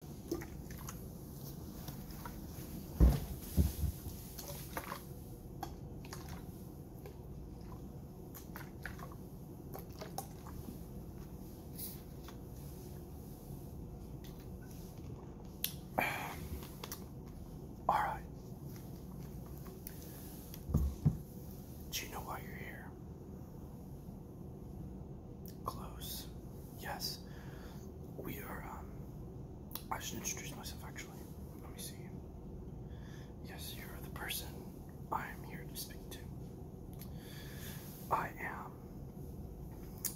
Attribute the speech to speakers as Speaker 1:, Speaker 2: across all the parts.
Speaker 1: All right. Do you know why you're here? Close. Yes. We are, um, I should introduce myself actually. Let me see. Yes, you're the person I am here to speak to. I am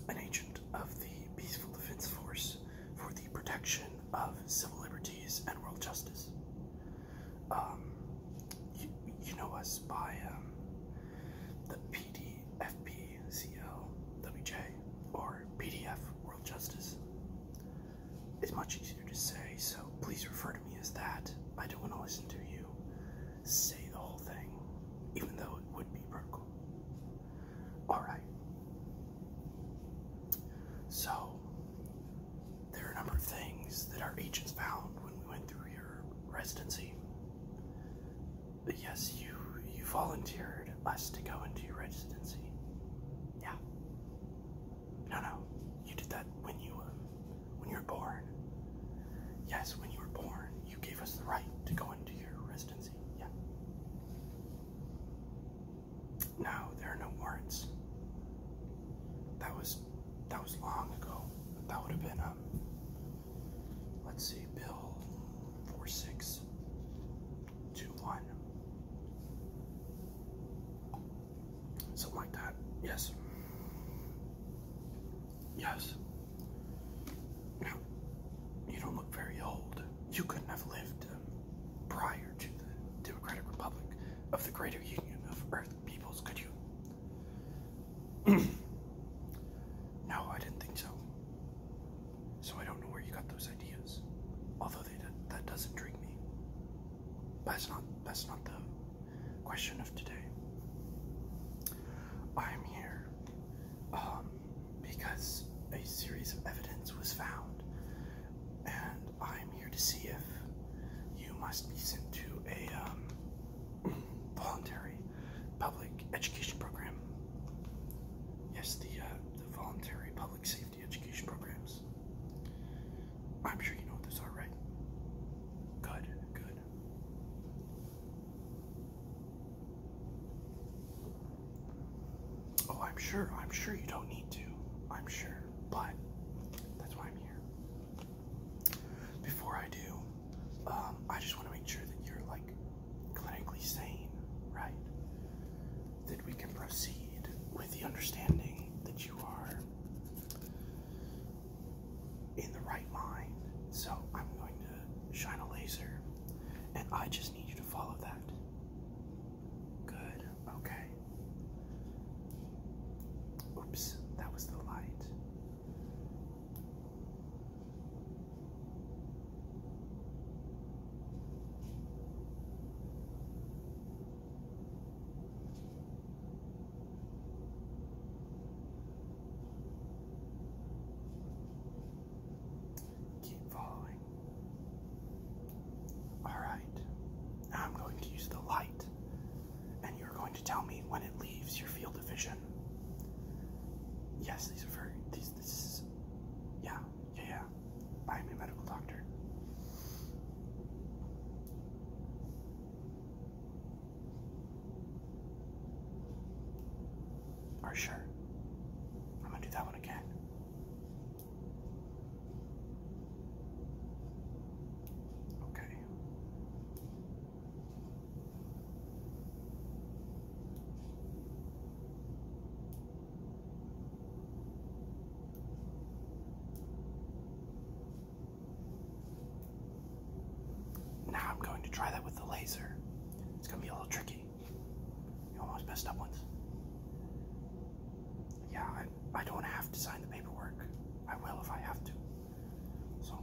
Speaker 1: an agent of the Peaceful Defense Force for the protection of civil liberties and world justice. Um, you, know us by um, the PD, or PDF, World Justice. It's much easier to say, so please refer to me as that. I don't want to listen to you say the whole thing, even though it would be vertical. Alright. So, there are a number of things that our agents found when we went through your residency yes, you you volunteered us to go into your residency. Yeah. No, no, you did that when you um, when you were born. Yes, when you were born, you gave us the right to go into your residency. Yeah. No, there are no warrants. That was that was long ago. That would have been um Let's see, Bill 4621. Something like that. Yes. Yes. Now, you don't look very old. You couldn't have lived um, prior to the Democratic Republic of the Greater Union of Earth Peoples, could you? no, I didn't think so. So I don't know where you got those ideas. Although they, that does not intrigue me. that's not that's not the question of today. I'm here um, because a series of evidence was found, and I'm here to see if you must be sent to a um, voluntary public education program. Yes, the, uh, the voluntary public safety education programs. I'm sure you know what those are, right? Good, good. Oh, I'm sure, I'm sure you don't need to. I'm sure, but that's why I'm here. Before I do, um, I just want to make sure that you're like clinically sane, right? That we can proceed with the understanding that you are in the right mind. So I'm going to shine a laser, and I just need you to follow that. Good, okay. Oops, that was the light. Keep following. Alright, I'm going to use the light, and you're going to tell me when it leaves your field of vision. Yes, these are very these this is yeah, yeah, yeah. I am a medical doctor. Are you sure? I'm gonna do that one again. Okay. Now I'm going to try that with the laser. It's going to be a little tricky. You almost messed up once. Yeah, I don't have to sign the paperwork. I will if I have to. So,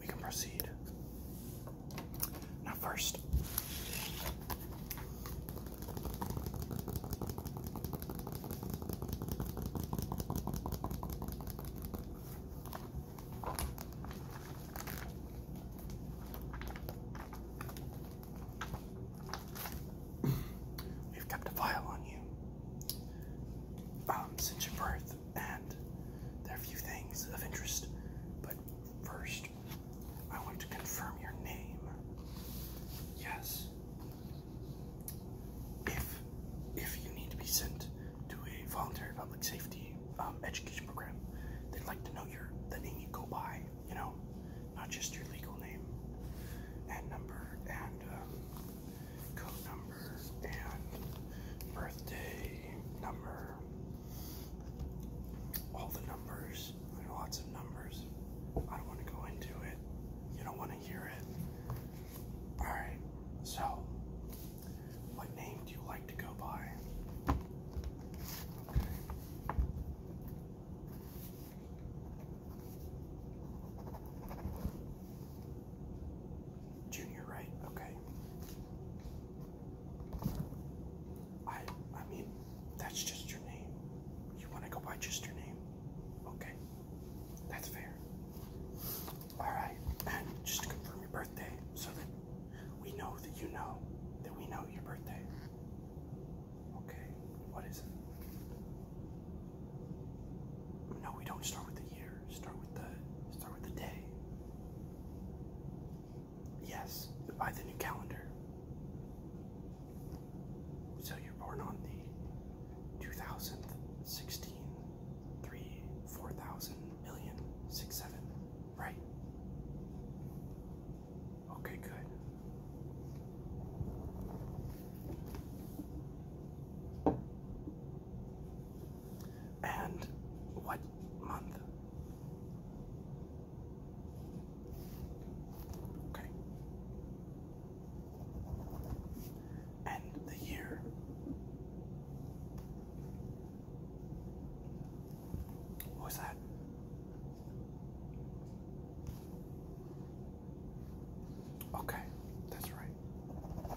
Speaker 1: we can proceed. Now, first, We've kept a file on you um, since your birth and there are a few things of interest. But first, I want to confirm your name. Yes. If if you need to be sent to a voluntary public safety um, education program, they'd like to know your the name you go by. You know, not just your legal name and number and um, code number, and birthday number. All the numbers. There are lots of numbers. I don't want to go into it. You don't want to hear it. Alright, so what name do you like to go by? Junior, right? Okay. I I mean, that's just your name. You want to go by just your name? Okay. That's fair. Alright, and just to confirm your birthday so that we know that you know that we know your birthday. Okay, what is it? No, we don't start with the year year. Start with the start with the day. Yes, by the new calendar. So you're born on the 2016 3 4000 million 7, right? Okay, good. And what month? Okay. And the year. What was that? Okay, that's right.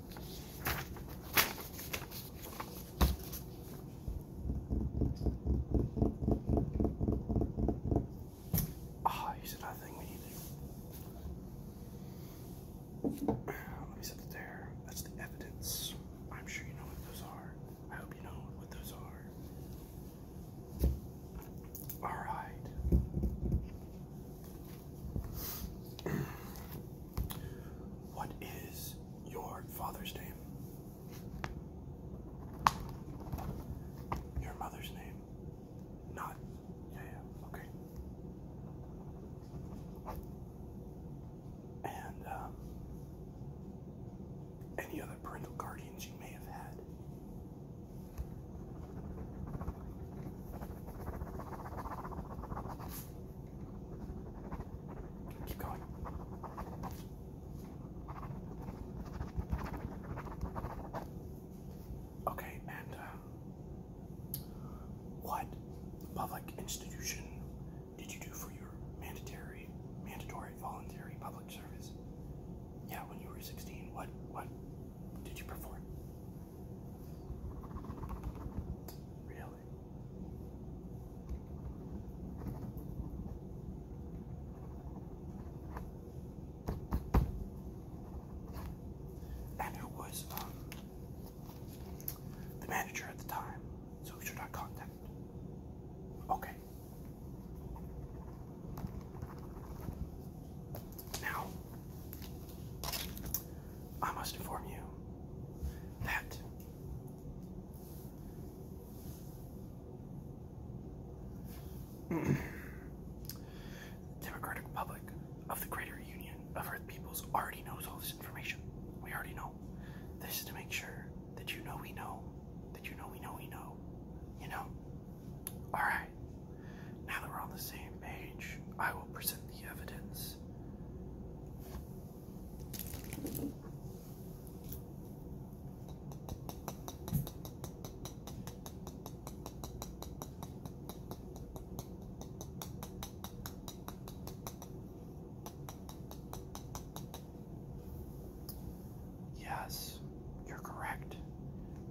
Speaker 1: Ah, oh, here's another Let me set it there. That's the evidence. I'm sure you know what those are. I hope you know what those are. Alright. What is your father's name? Your mother's name? Not. Yeah, okay. And um, any other parental guardians you may have had? Keep going. Okay, and uh, what public institution did you do for your mandatory, mandatory voluntary public service? Yeah, when you were 16, what what did you perform? Really? And was um, the manager at the time? So who should I contact? Okay. Now, I must inform you that the Democratic Republic of the Greater Union of Earth Peoples already knows all this information. We already know. This is to make sure that you know we know, that you know we know we know. You know? Alright. Now that we're on the same page, I will present the evidence. Yes, you're correct.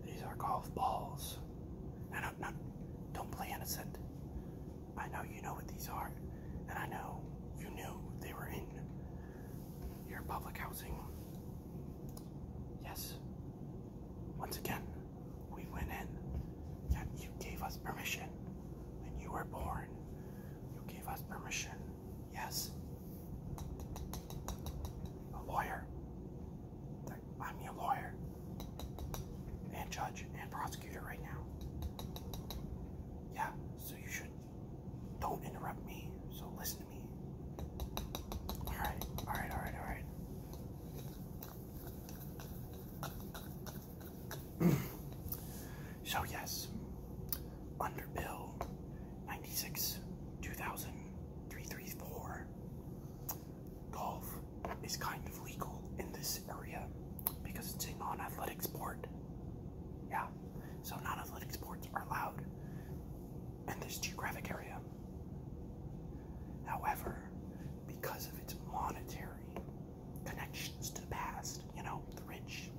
Speaker 1: These are golf balls. I don't do not play innocent. I know you know what these are, and I know you knew they were in your public housing. Yes. Once again, we went in. Yet you gave us permission when you were born. You gave us permission. Yes. A lawyer. I'm your lawyer and judge and prosecutor right now. Yeah, so you should don't interrupt me. So listen to me. All right, all right, all right, all right. so yes, under Bill 96 2000 334, golf is kind of legal in this area because it's a non-athletic sport. Yeah, so non-athletic sports are allowed in this geographic area. However, because of its monetary connections to the past, you know, the rich,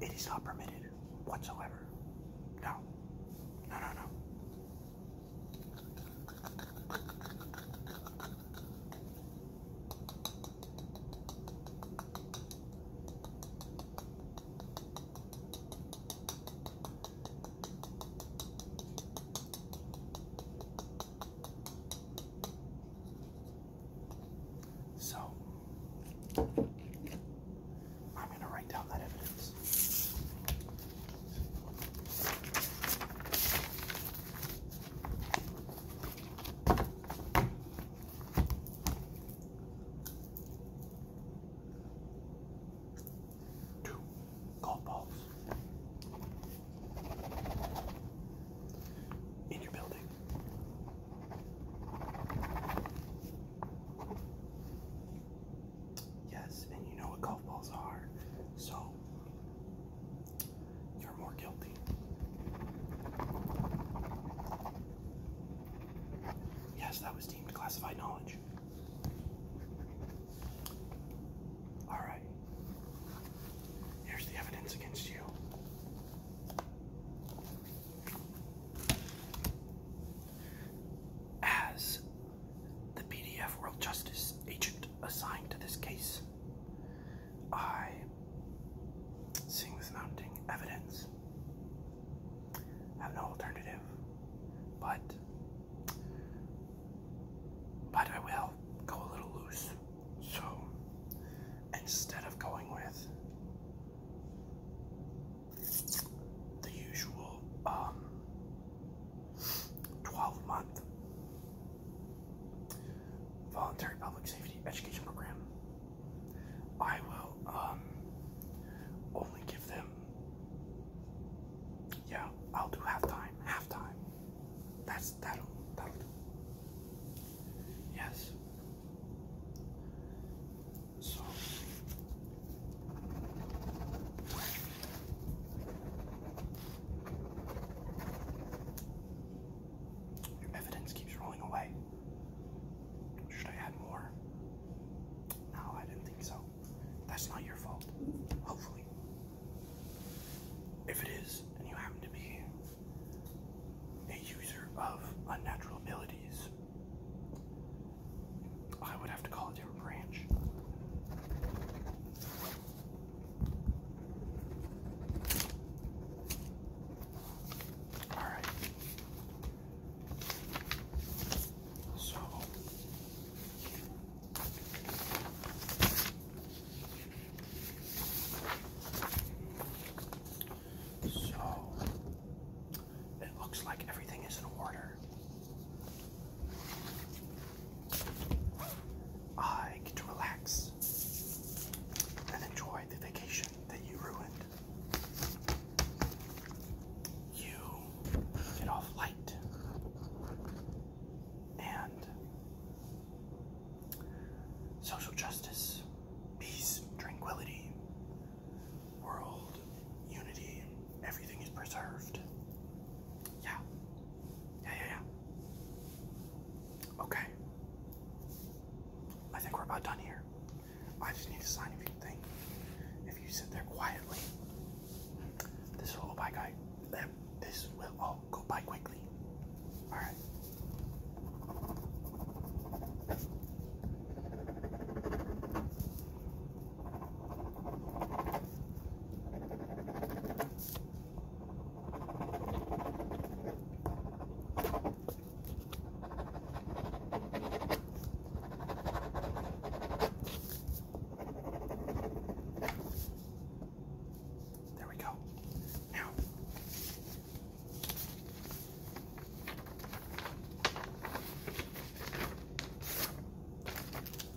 Speaker 1: it is not permitted whatsoever. No, no, no, no. So, I'm going to write down that evidence. Two golf balls in your building. Yes, and you know what golf balls are. So you're more guilty. Yes, that was deemed classified knowledge. Alright. Here's the evidence against you. As the PDF World Justice agent assigned to this case. I, seeing this mounting evidence, have no alternative, but but I will go a little loose. So instead of going with the usual um, 12 month voluntary public safety education program. I will um, only give them, yeah, I'll do half time, That's that'll that'll Yes. So your evidence keeps rolling away. Should I add more? No, I didn't think so. That's not your fault. Hopefully. If it is, and you happen to be a user of unnatural abilities, I would have to call a different branch. All right. So so it looks like everything is in order. I get to relax and enjoy the vacation that you ruined. You get off light and social justice, peace, tranquility, world, unity, everything is preserved. Yeah. Yeah, yeah, yeah. Okay. I think we're about done here. I just need to sign a few things. If you sit there quietly, this will all by guy. Eh, this will all go by quickly. All right. There we go. Now,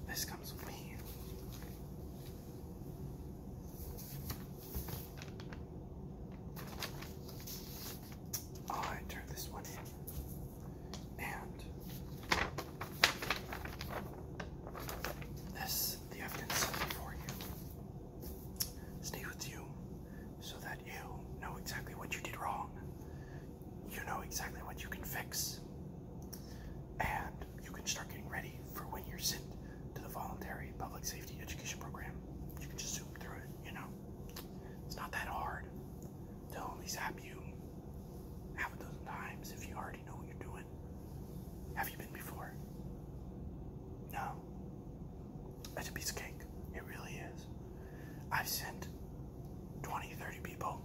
Speaker 1: this comes with me. Oh, I turn this one in, and this the evidence for you. Stay with you, so that you know exactly what you did wrong. You know exactly what you can fix and you can start getting ready for when you're sent to the voluntary public safety education program. You can just zoom through it, you know. It's not that hard. they only zap you half a dozen times if you already know what you're doing. Have you been before? No. It's a piece of cake. It really is. I've sent 20, 30 people.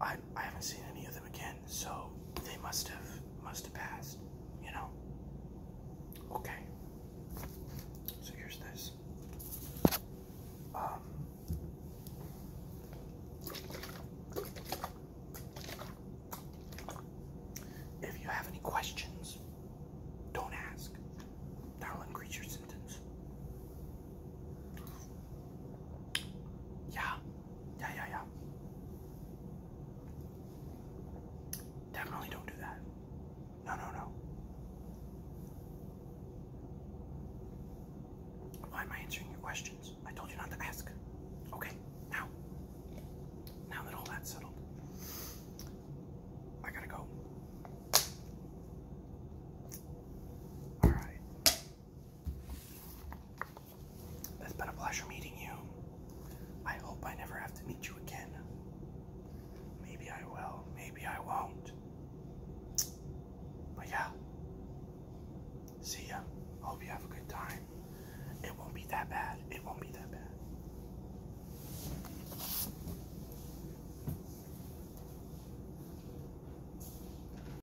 Speaker 1: I, I haven't seen any of them again so they must have must have passed, you know. Okay. So here's this. Um, if you have any questions, don't ask. That'll increase your sentence. Yeah, yeah, yeah, yeah. Definitely don't do that. No, no, no. Why am I answering your questions? I told you not to ask. Okay, now. Now that all that's settled, I gotta go. Alright. It's been a pleasure meeting you. I hope I never have to meet you again. Maybe I will, maybe I won't. But yeah. See ya. Hope you have a good time. It won't be that bad. It won't be that bad.